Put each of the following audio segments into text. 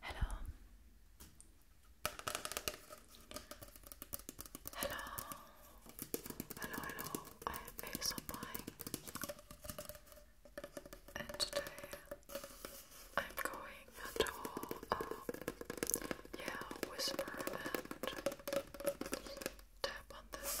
Hello. Hello. Hello, hello. I am Face And today I'm going to um yeah, whisper and tap on this.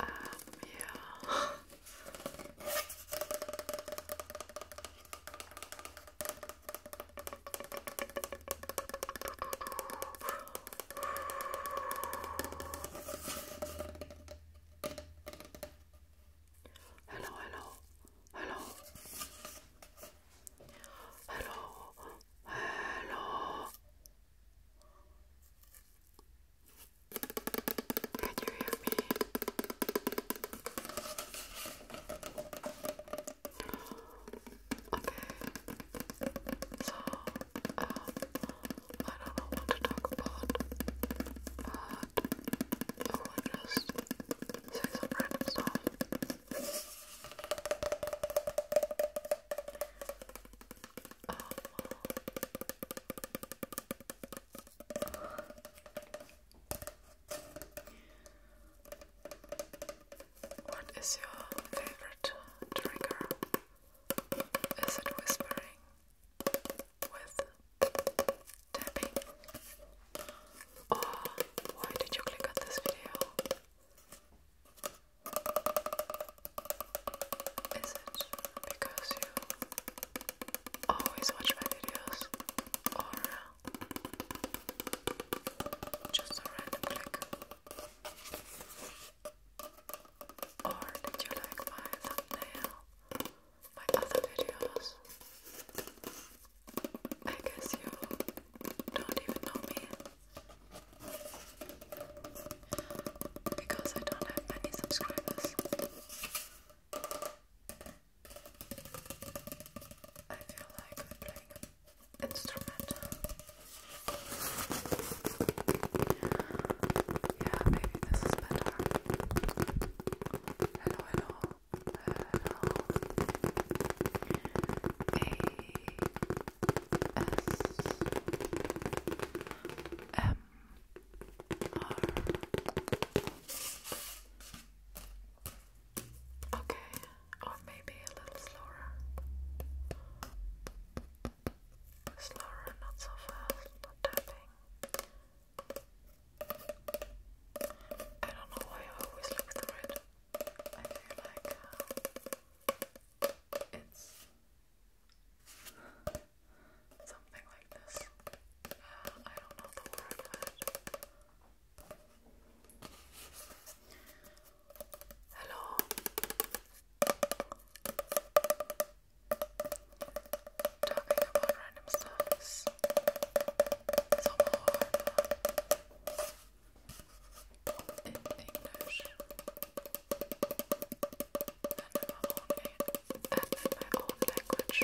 Um, yeah. Hello, hello, hello, hello, hello. Can you hear me? Okay. So, um, I don't know what to talk about, but I will just say some random stuff. Um, what is your favorite trigger? Is it whispering with tapping? Or why did you click on this video? Is it because you always watch my videos or uh, just a random click? Or did you like my thumbnail, my other videos? I guess you don't even know me because I don't have many subscribers. I feel like I'm playing an instrument. A S M or okay, or maybe a little slower, slower, not so fast, not tapping. I don't know why I always look through it. I feel like uh, it's Something like this. Uh, I don't know the word for Hello. Talking about random stuff is so hard uh, in English and I will only add my own language.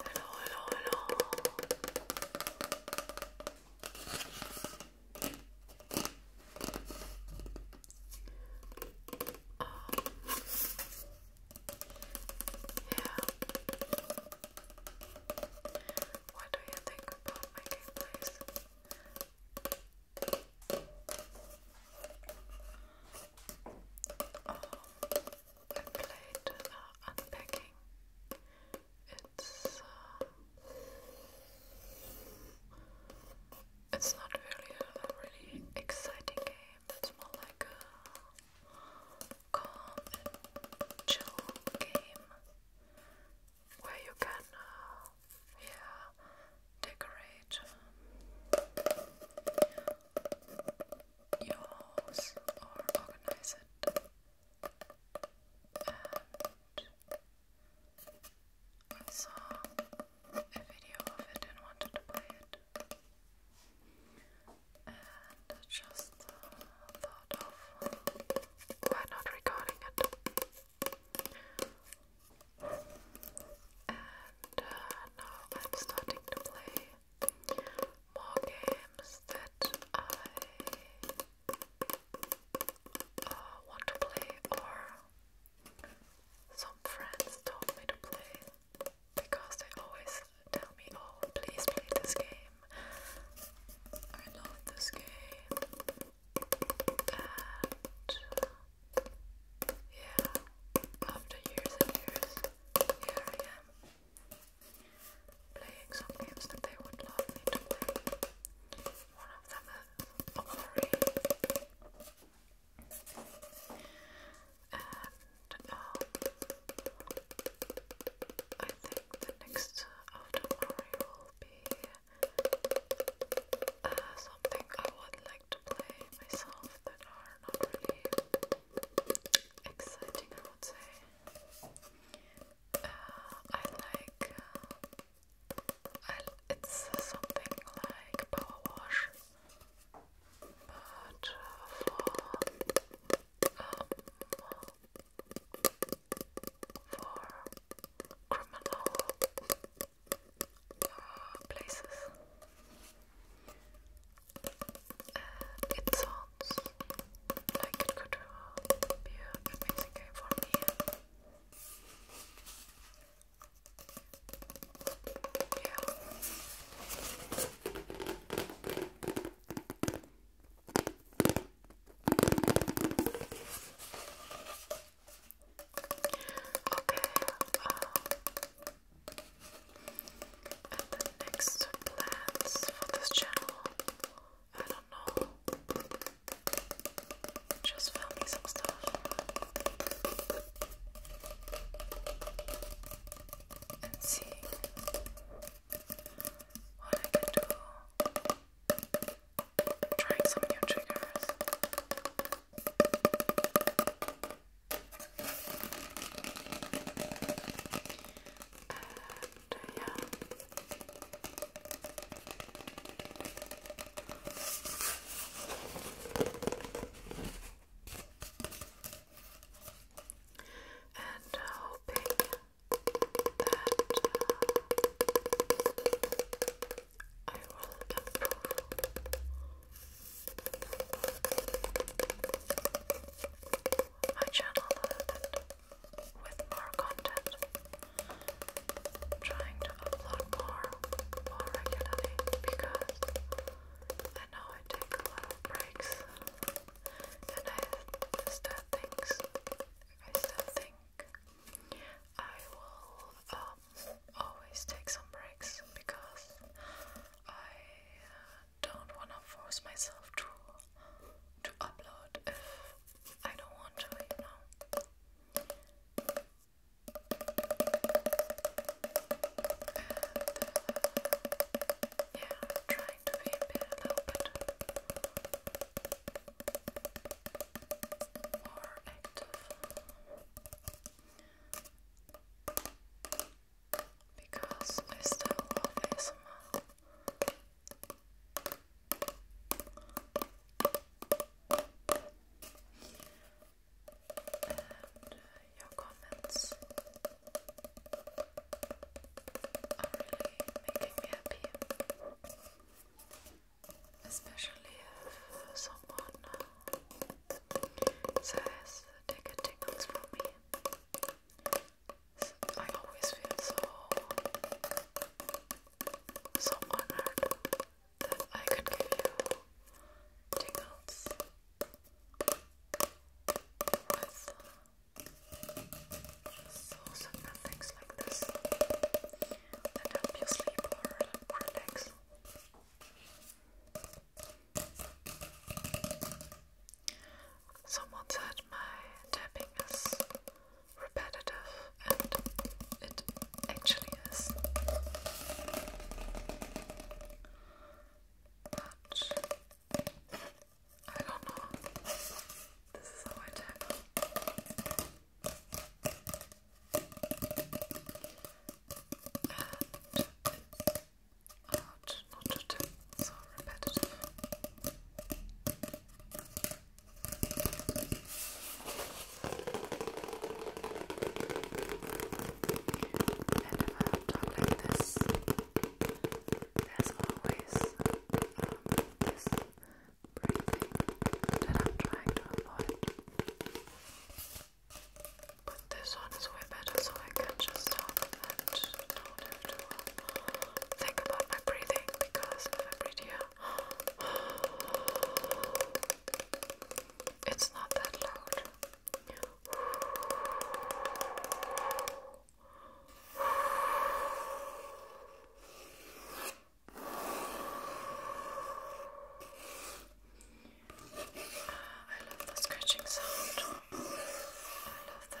Hello, hello, hello. Um, what do you think about my gameplays? Um, I played uh, Unpacking. It's uh, it's not really a really exciting game that's more like a calm chill game where you can, uh, yeah, decorate um, your house or organize it I saw a video of it and wanted to play it. And I just uh, thought of why not recording it. And uh, now I'm starting to play more games that I uh, want to play, or some friends told me to play because they always tell me, oh, please play this game. I love this game. And yeah, after years and years, here I am playing some games that they would love me to play. One of them is Ori. And um, I think the next after will be uh, something I would like to play myself that are not really exciting, I would say. Uh, I like. it's something like power wash but um, for criminal places, uh, it sounds like it could uh, be an amazing game for me. Um, and the next plans for this channel, I don't know. Just filming some stuff. And see what I do. Trying some new triggers. And uh, yeah. And uh, hoping that uh, I will improve my channel with more content trying to upload more, more regularly because I know I take a lot of breaks and I still think I still think I will um, always take some breaks because I uh, don't want to force myself to to upload if I don't want to, you yeah, i trying to be a active because I still love ASMR. And uh, your comments are really making me happy. Especially if uh, someone uh, says take a tingles from me. I always feel so so honored that I could give you tingles with so and things like this that help you sleep or relax. Someone said my tapping is repetitive, and it actually is. But I don't know. This is how I tackle. And uh, not to so repetitive. And if I like this, there's always um, breathing that I'm trying to avoid. But this one is way better, so I can just talk and do think about my breathing because if I breathe here, it's not that loud. Ah, I love the scratching sound. I love that.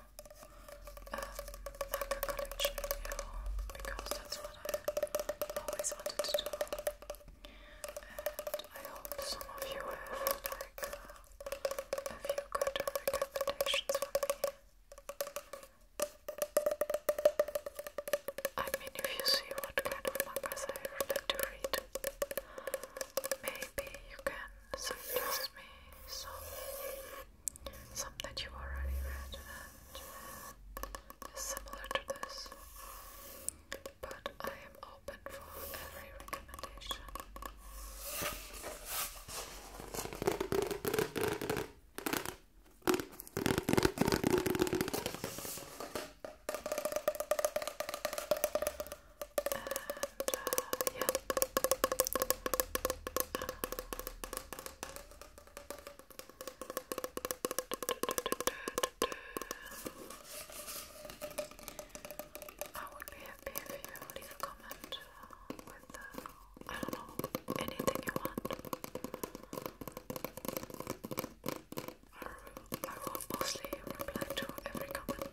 um, manga collection now because that's what I always wanted to do. And I hope some of you have like uh, a few good recommendations for me. I mean, if you see what kind of mangas I like to read, maybe you can suggest me some some that you already read and uh, similar to this. But I am open for every recommendation. And uh, I would be happy if you leave a comment with, uh, I don't know, anything you want. I will mostly reply to every comment.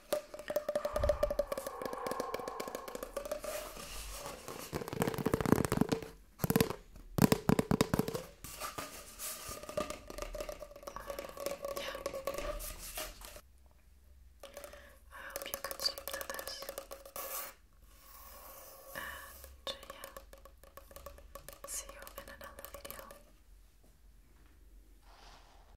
I hope you could this. And uh, yeah, see you in another video.